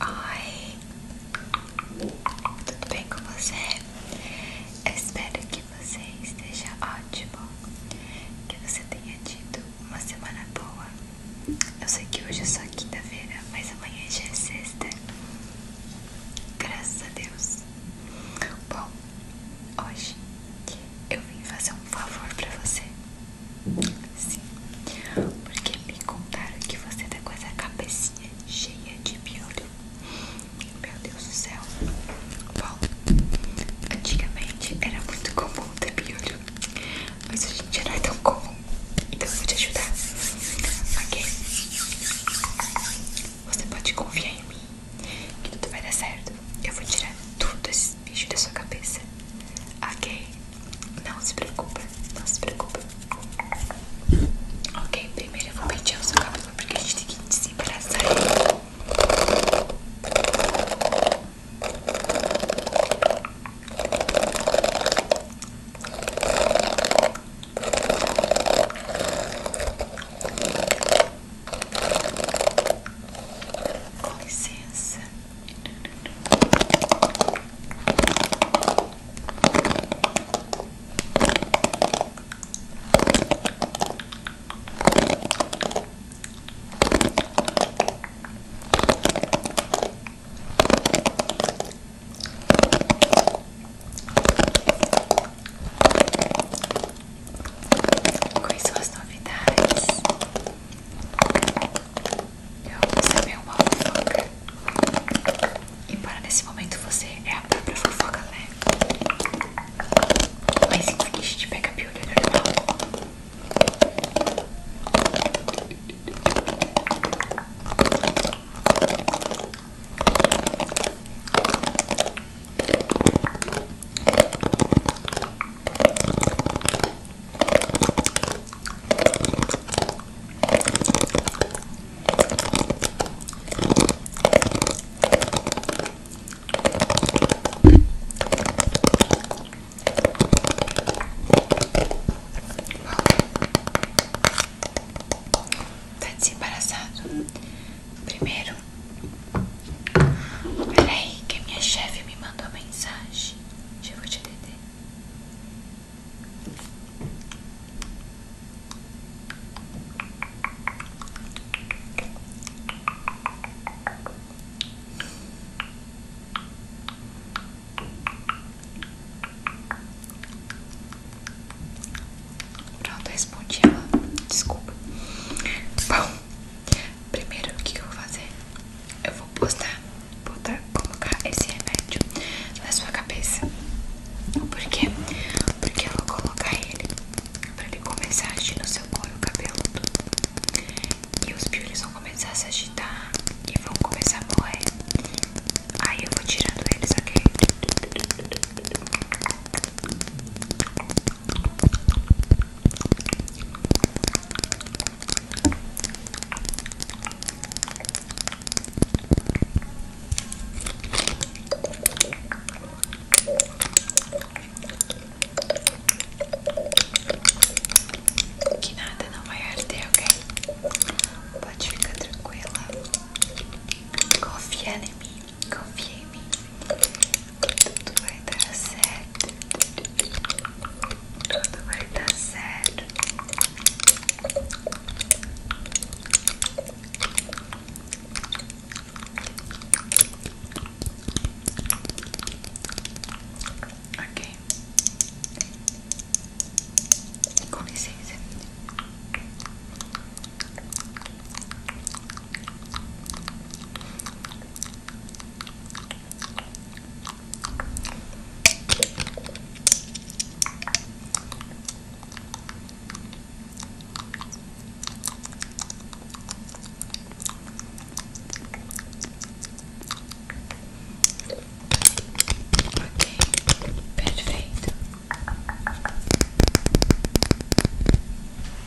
Oi, tudo bem com você? Eu espero que você esteja ótimo, que você tenha tido uma semana boa. Eu sei que hoje é só quinta-feira, mas amanhã já é sexta. Graças a Deus. Bom, hoje eu vim fazer um favor pra você. Sim, porque me contaram que você tá com essa cabecinha cheia de piolho. Meu Deus do céu. Bom, antigamente era muito comum ter piolho, mas hoje em dia não é tão comum. Então eu vou te ajudar. Ok? Você pode confiar em mim que tudo vai dar certo. Eu vou tirar tudo esse bichos da sua cabeça. Ok? Não se preocupa, não se preocupa. Ok, primeiro eu vou pentear o seu cabelo porque a gente tem que desembaraçar ele. Com licença. Quais são as novidades? eu recebi uma fofoca. Embora nesse momento você é a própria fofoca, né? Mas enfim, a gente pega a piolha normal. Tá desembaraçado. Primeiro Peraí, que minha chefe me mandou mensagem. Já vou te atender. Pronto, respondi ela. Desculpa. Bom, Primeiro, o que eu vou fazer? Eu vou postar, botar, colocar esse remédio na sua cabeça. Por quê? Porque eu vou colocar ele pra ele começar a agir no seu couro cabeludo. E os piores vão começar a se agitar e vão começar a morrer. Aí eu vou tirando eles, ok? Que nada não vai arder, ok? Pode ficar tranquila. Confia em mim confie em mim. Tudo vai dar certo. Tudo vai dar certo. Ok. Com licença. Ok, perfeito.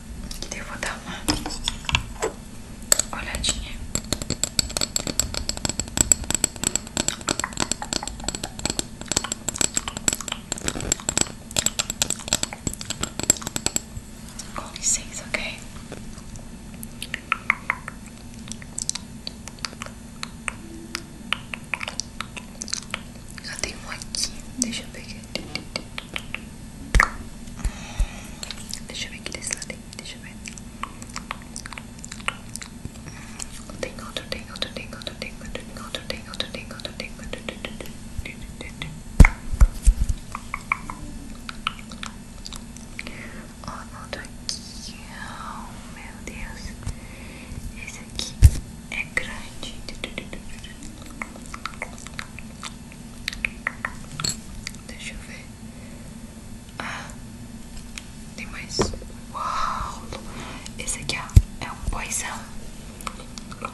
devo daí eu vou dar uma olhadinha. Com licença, ok? Já tem um aqui, deixa eu pegar. Deixa eu ver aqui desse lado aí, deixa eu ver. Tem outro, tem outro, tem outro, tem outro, tem outro, tem outro, tem outro, tem outro, tem outro. Ó, outro aqui. Oh, meu Deus. Esse aqui é grande. Deixa eu ver. Ah, tem mais. Uau! Esse aqui, é, é um boizão. Ok.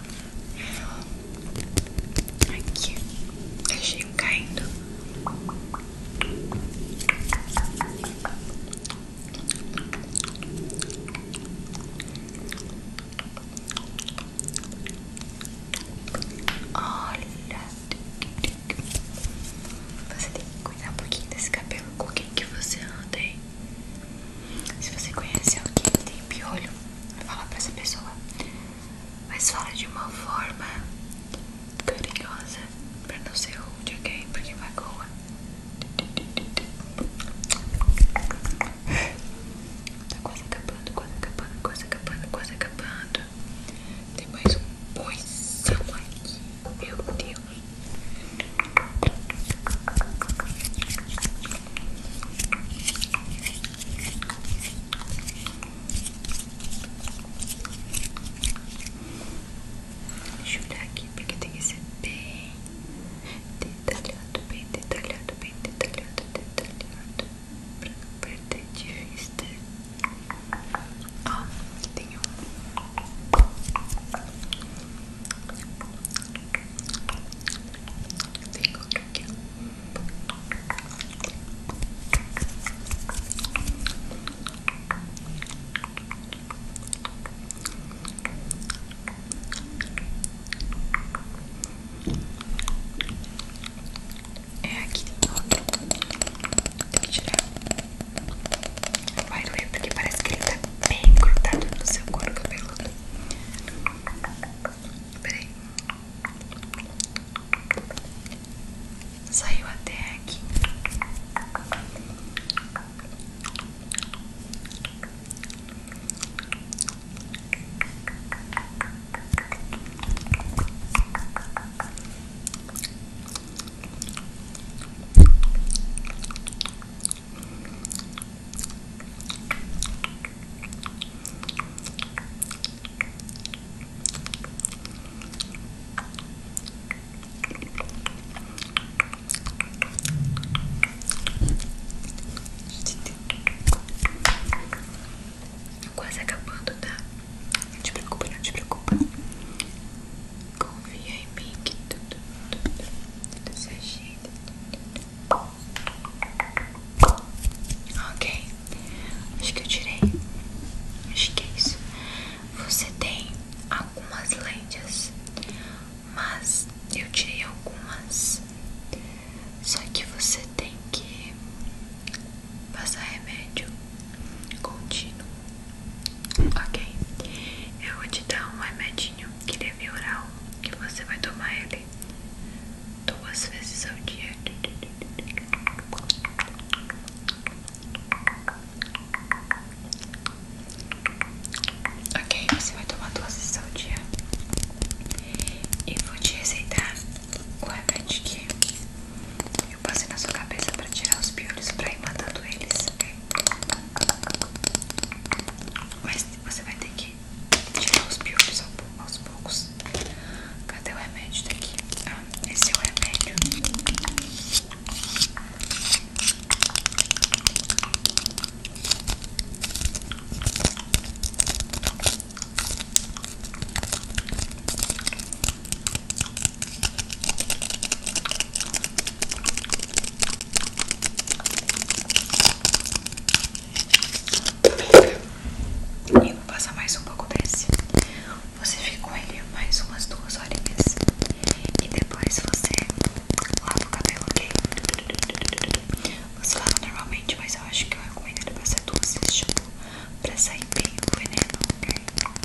Aqui, deixei um caindo. Olha, você tem que cuidar um pouquinho desse cabelo com quem que você anda aí. Se você conhece alguém que tem piolho, fala pra essa pessoa mas fala de uma forma carinhosa pra não ser rude, ok? Porque vai magoa. Tá quase acabando, quase acabando, quase acabando, quase acabando. Tem mais um poisão aqui, meu Deus. Deixa eu olhar aqui porque tem que ser bem detalhado, bem detalhado, bem detalhado, detalhado pra não perder de vista. Ó, oh, ah, tem um. Tem outro aqui. É aqui tem tirar. vai doer porque parece que ele tá bem grudado no seu couro cabeludo. Peraí. Saiu até aqui. Quase acabando, tá? Não te preocupa, não te preocupa. Confia em mim que tudo, tudo, tudo se agita. Ok, acho que eu tirei. Acho que é isso. Você tem algumas lendas, mas eu tirei algumas. Só que você tem que passar remédio contínuo. Ok, eu vou te dar um remedinho que via oral, que você vai tomar ele duas vezes ao dia. Ok, você vai tomar duas vezes ao dia. E vou te receitar o remédio que eu passei na sua cabeça para tirar os piolhos, para ir matando eles, ok? Mas você vai ter que tirar os piolhos aos poucos. Cadê o remédio daqui? Ah, esse é o remédio. E vou passar mais um pouco desse. Você fica com ele mais umas duas horinhas. E depois você lava o cabelo, ok? Você lava normalmente, mas eu acho que eu recomendo ele passar duas vezes, tipo, pra sair bem o veneno, ok?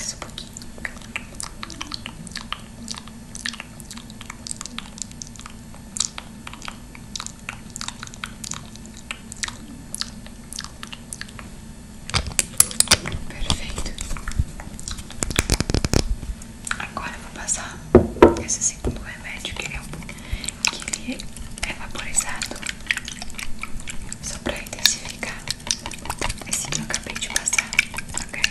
Só um pouquinho. Perfeito. Agora vou passar esse segundo remédio que é um pouco que ele é vaporizado só para intensificar esse que eu acabei de passar, ok?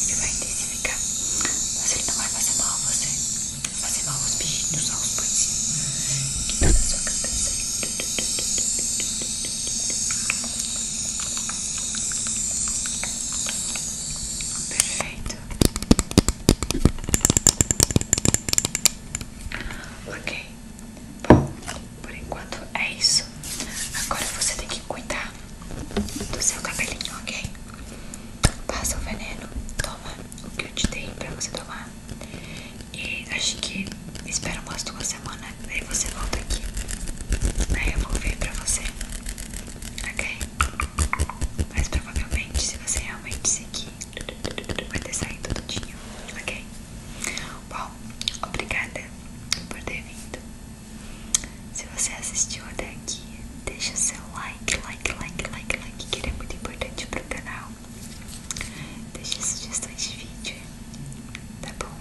Ele vai intensificar, mas ele não vai fazer mal a você, vai fazer mal aos bichinhos, aos poesinhos, que tá na sua cabeça. Perfeito. Ok, bom, por enquanto é isso. Agora você tem que cuidar do seu cabelinho, ok? Passa o veneno, toma o que eu te dei pra você tomar. E acho que espera umas duas semanas, Daí você volta aqui. daí eu vou ver pra você, ok? Mas provavelmente, se você realmente seguir, vai ter saído tudinho, ok? Bom, obrigada por ter vindo. Se você assistiu até aqui, deixa seu like, like, like, like, like, que ele é muito importante pro canal. deixa sugestões de vídeo, tá bom?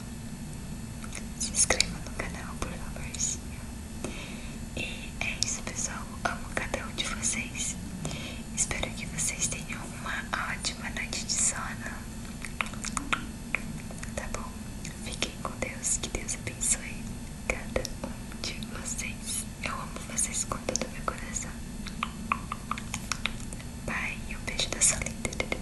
Se inscreva no canal, por favorzinho. E é isso, pessoal. Amo cada um de vocês. Espero que vocês tenham uma ótima noite de sono. Tá bom? Fiquem com Deus. Que Deus abençoe cada um de vocês. Eu amo vocês com todo o meu coração. pai Um beijo da Solita.